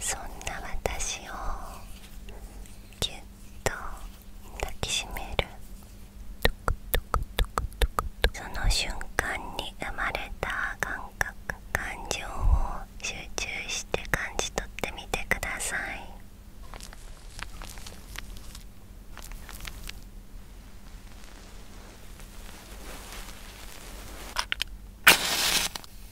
そんな私をぎゅっと抱きしめるその瞬間に生まれた感覚感情を集中して感じ取ってみてください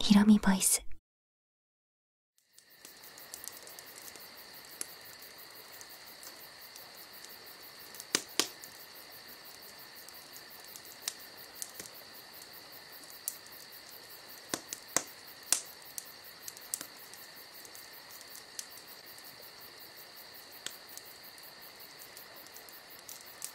ヒロミボイス。お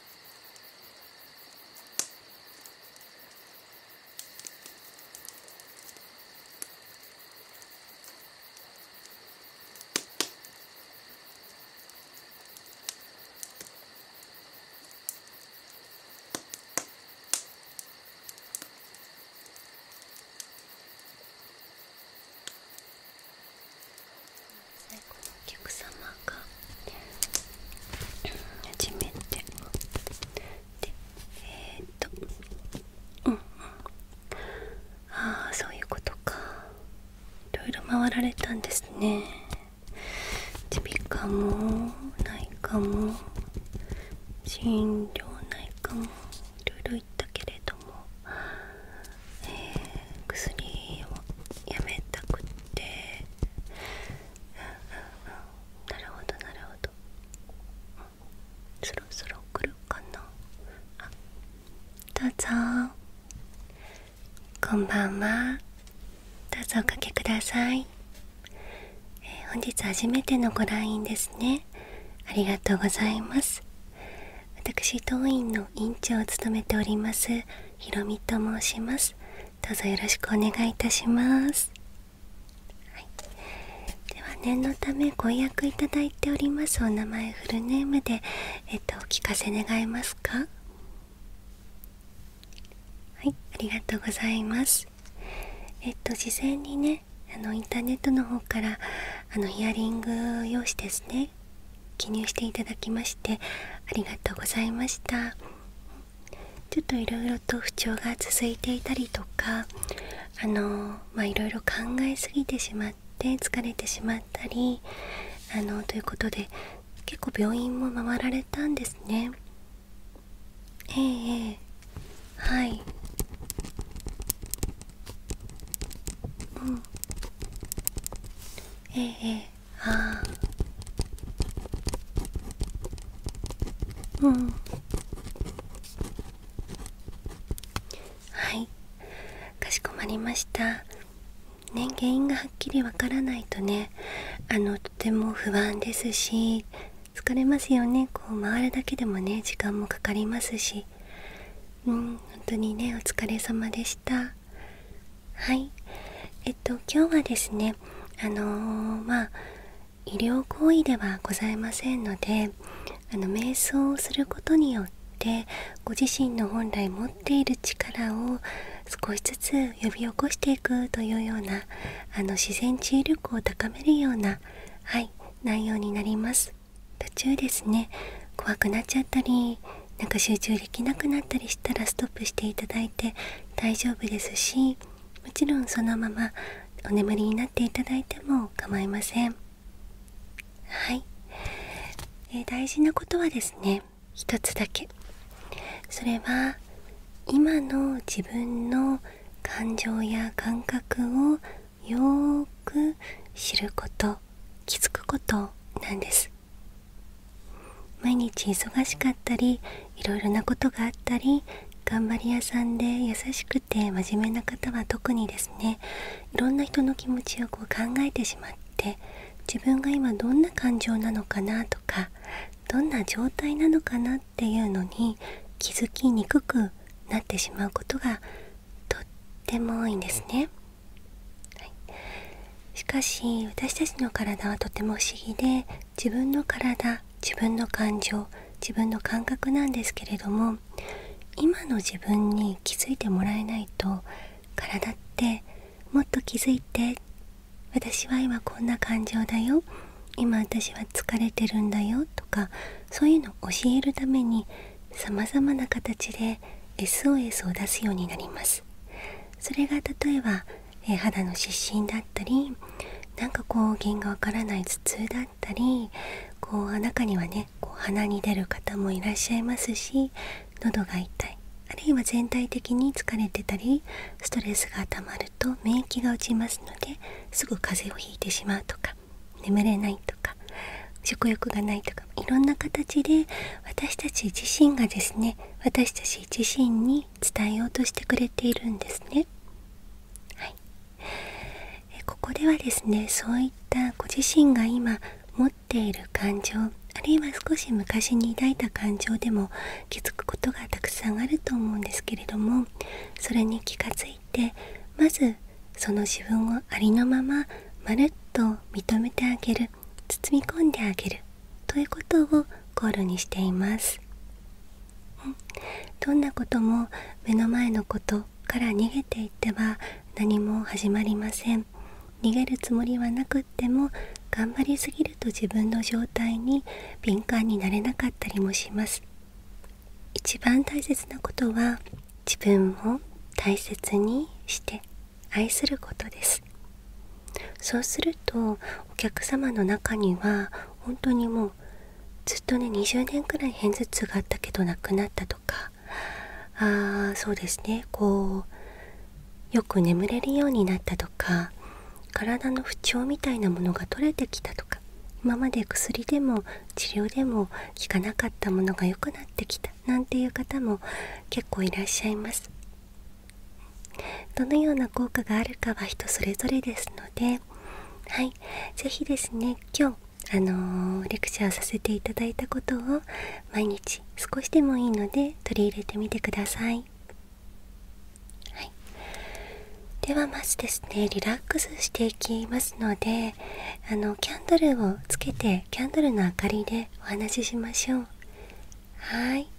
客様初めてでえっとうんうんああそういうことかいろいろ回られたんですね耳鼻科も内科も心療内科もいろいろ言ったけれども、え薬をやめたくてなるほどなるほど、そろそろ来るかなあどうぞこんばんはどうぞおかけください、え本日初めてのご来院ですねありがとうございます私当院の院長を務めておりますひろみと申しますどうぞよろしくお願いいたします、では念のためご予約いただいておりますお名前フルネームでえっとお聞かせ願えますかはいありがとうございますえっと事前にねあのインターネットの方からあのヒアリング用紙ですね記入していただきましてありがとうございましたちょっといろいろと不調が続いていたりとかあのまあいろいろ考えすぎてしまって疲れてしまったりあのということで結構病院も回られたんですねえええはいうんえええああうんはいかしこまりましたね原因がはっきりわからないとねあのとても不安ですし疲れますよねこう回るだけでもね時間もかかりますしうん本当にねお疲れ様でしたはいえっと今日はですねあのまあ医療行為ではございませんのであの瞑想をすることによってご自身の本来持っている力を少しずつ呼び起こしていくというようなあの自然治癒力を高めるようなはい内容になります途中ですね怖くなっちゃったりなんか集中できなくなったりしたらストップしてい大丈夫ですしもちろんそのままお眠りになっていただいても構いませんはい、え大事なことはですね一つだけそれは今の自分の感情や感覚をよく知ること気づくことなんです毎日忙しかったりいろいろなことがあったり頑張り屋さんで優しくて真面目な方は特にですねいろんな人の気持ちをこう考えてしまって自分が今どんな感情なのかなとかどんな状態なのかなっていうのに気づきにくくなってしまうことがとっても多いんですね。しかし私たちの体はとても不思議で自分の体自分の感情自分の感覚なんですけれども今の自分に気づいてもらえないと体ってもっと気づいて私は今こんな感情だよ今私は疲れてるんだよとかそういうのを教えるためにさまざまな形で SOS を出すようになりますそれが例えばえ肌の湿疹だったりなんかこう原因がわからない頭痛だったりこう中にはねこう鼻に出る方もいらっしゃいますし喉が痛いあるいは全体的に疲れてたりストレスがたまると免疫が落ちますのですぐ風邪をひいてしまうとか眠れないとか食欲がないとかいろんな形で私たち自身がですね私たち自身にに伝えようとしてくれているんですね。はここではですねそういったご自身が今持っている感情あるいは少し昔に抱いた感情でも気づくことがたくさんあると思うんですけれどもそれに気がついてまずその自分をありのまままるっと認めてあげる包み込んであげるということをゴールにしています、ん、どんなことも目の前のことから逃げていっては何も始まりません逃げるつもりはなくっても頑張りすぎると自分の状態に敏感になれなかったりもします一番大切なことは自分を大切にして愛することですそうするとお客様の中には本当にもうずっとね20年くらい片頭痛があったけどなくなったとかあーそうですねこうよく眠れるようになったとか体の不調みたいなものが取れてきたとか今まで薬でも治療でも効かなかったものが良くなってきたなんていう方も結構いらっしゃいます。どのような効果があるかは人それぞれですのではい是非ですね今日あのレクチャーさせていただいたことを毎日少しでもいいので取り入れてみてください、はい、ではまずですねリラックスしていきますのであのキャンドルをつけてキャンドルの明かりでお話ししましょうはい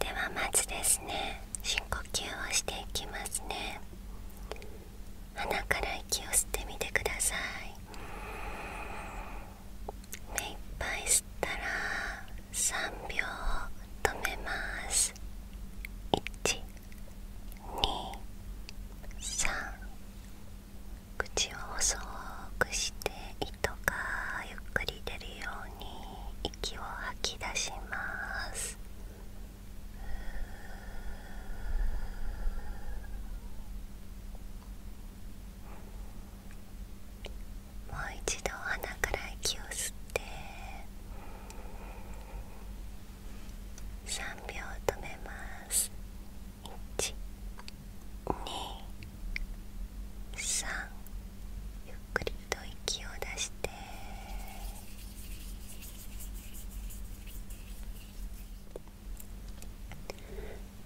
ではまずですね深呼吸をしていきますね鼻から息を吸ってみてください目いっぱい吸ったら3秒止めます123口を細くして糸がゆっくり出るように息を吐き出しますもう一度鼻から息を吸って3秒止めます。1 2 3ゆっくりと息を出して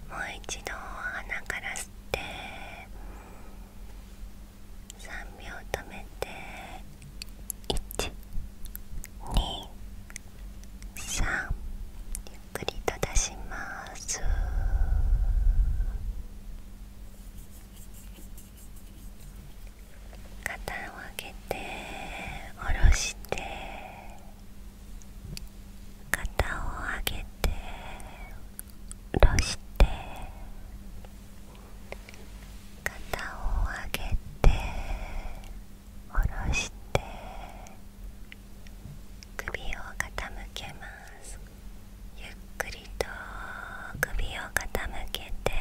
もう一度鼻から吸って3秒止めて123ゆっっりと出します肩を上げて下ろして肩を上げて下ろして肩を上げて下ろして首を傾けますゆっくりと首を傾けて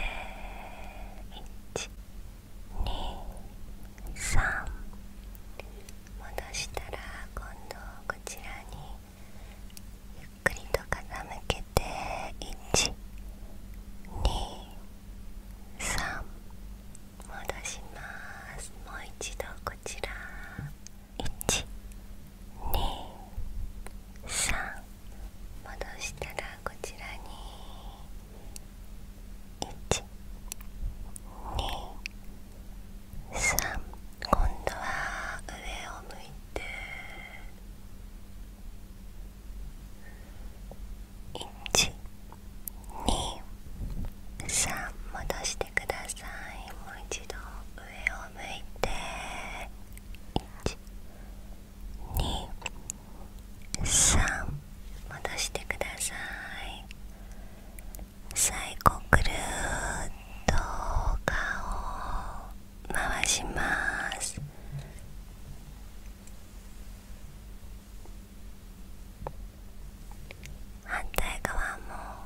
123戻したら今度こちらにゆっくりと傾けて123戻しますもう一度こちら123戻したらこちらに123今度は上を向いて1 2 3 23戻してくださいもう一度上を向いて123戻してください最後くるーっと顔を回します反対側も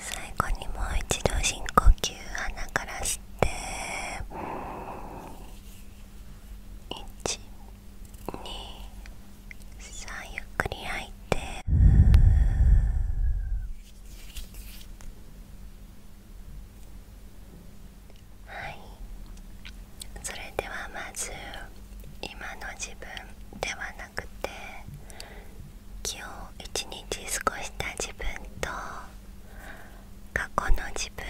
最後にもう一度深呼吸鼻から吸って123ゆっくり吐いてはいそれではまず今の自分ではなくて今日一日過ごした自分と過去の自分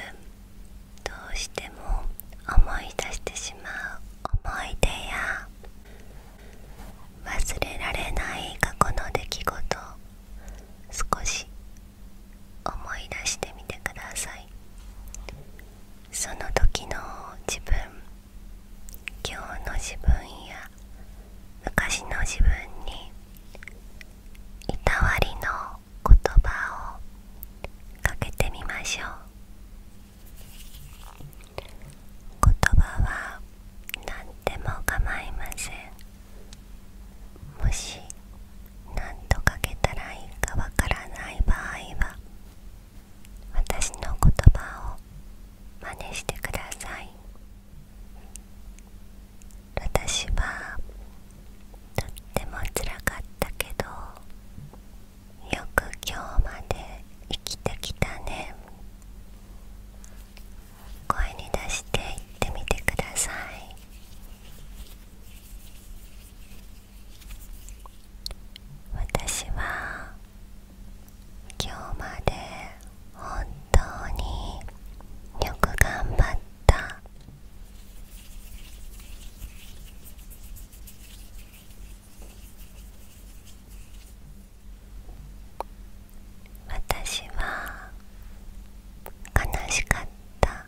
どうしても思い出してしまう思い出や忘れられない過去の出来事少し思い出してみてくださいその時の自分今日の自分や昔の自分にいたわりの言葉をかけてみましょう言葉は何でも構いませんもし何とかけたらいいかわからない場合は私の言葉を真似してください私はとってもつらかったけどよく今日まで生きてきたね声に出して言ってみてください私は今日まで本当によく頑張った私は悲しかった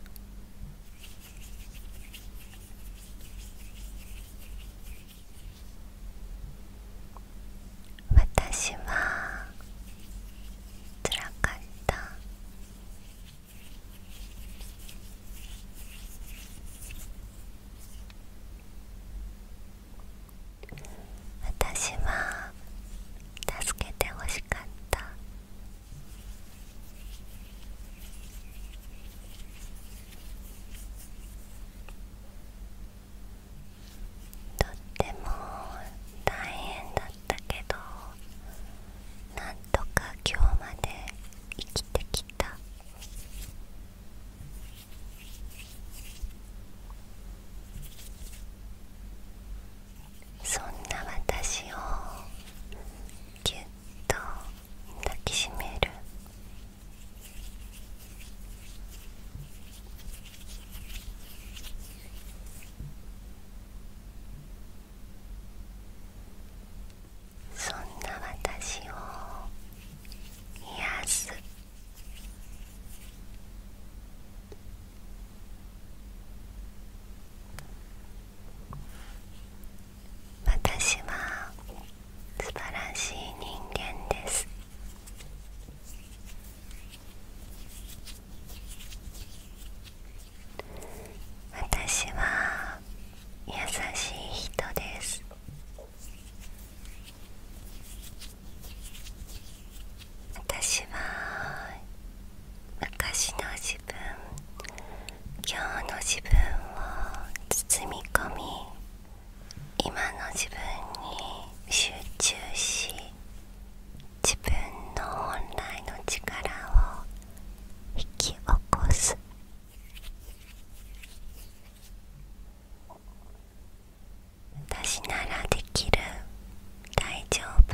私はつらかった私は助けてほしかったとっても大変だったけどなんとか今日まで生きてきたそんな私をぎゅっと抱きしめるそんな私を癒す私は素晴らしい人間です私は優しい人です私は昔の自分今日の自分を包み込み今の自分に集中し自分の本来の力を引き起こす私ならできる大丈夫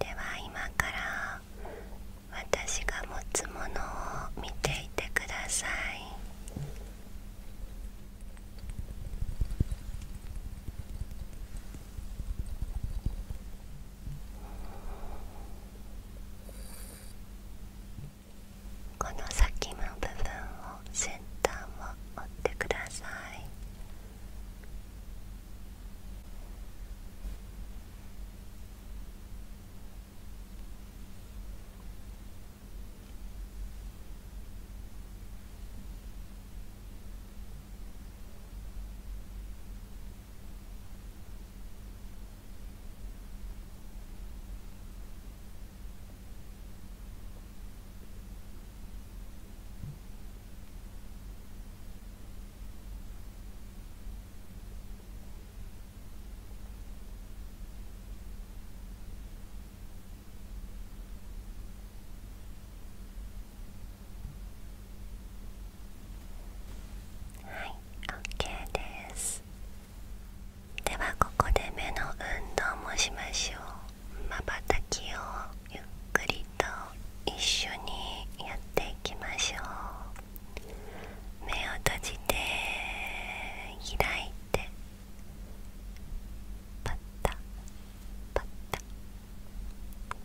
では今から私が持つものを見ていてくださいこの先の部分を先端を折ってくださいはい、OK です。ではここで目の運動もしましょうまばたきをゆっくりと一緒にやっていきましょう目を閉じて開いてパッタパッタ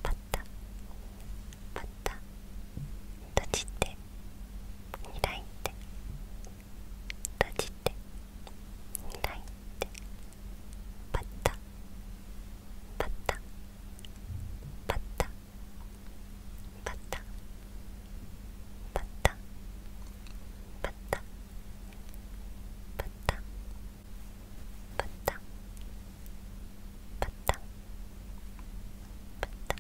パッタパッタ閉じて開いて閉じていないってパタパタパタパタパタパタパタパタパタパタ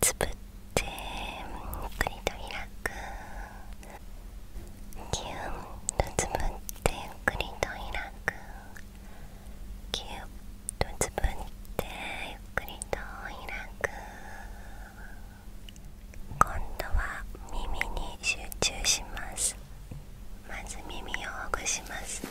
つぶってゆっくりと開くキュンとつぶってゆっくりと開くぎゅっとつぶってゆっくりと開く今度は耳に集中しますまず耳をほぐします耳をほぐしますね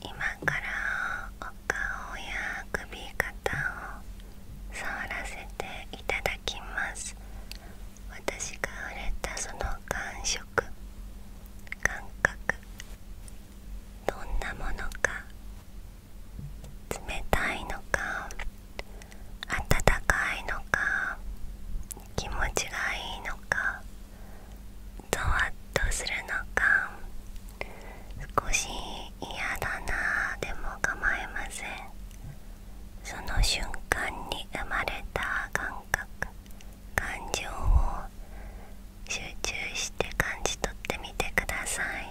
今からお顔や首肩を触らせていただきます私が触れたその感触感覚どんなものか冷たいのか温かいのか気持ちがいいのかゾワッとするのか少し嫌だなでも構いませんその瞬間に生まれた感覚感情を集中して感じ取ってみてください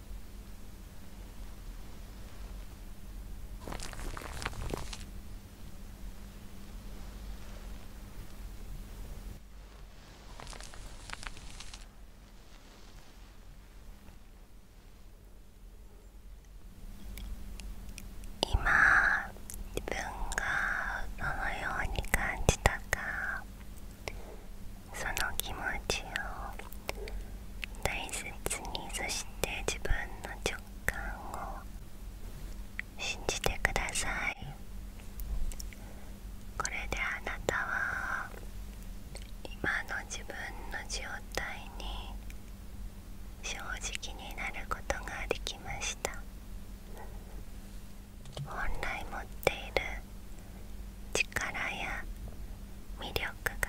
今自分がどのように感じたかその気持ちを大切にそして自分の直感を信じてくださいこれであなたは今の自分の状態に正直になることができました本来持っている力や魅力が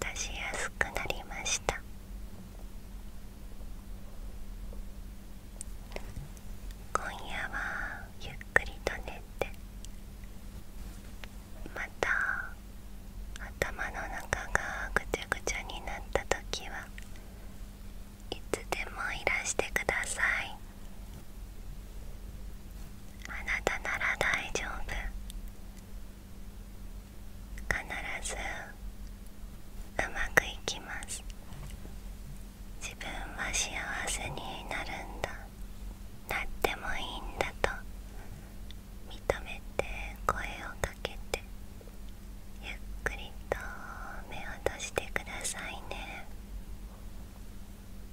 出しやすくなりました今夜はゆっくりと寝てまた頭の中がぐちゃぐちゃになった時はいつでもいらしてくださいあなたなら大丈夫必ずうまくいきます自分は幸せになるんだなってもいいんだと認めて声をかけてゆっくりと目を閉じてくださいね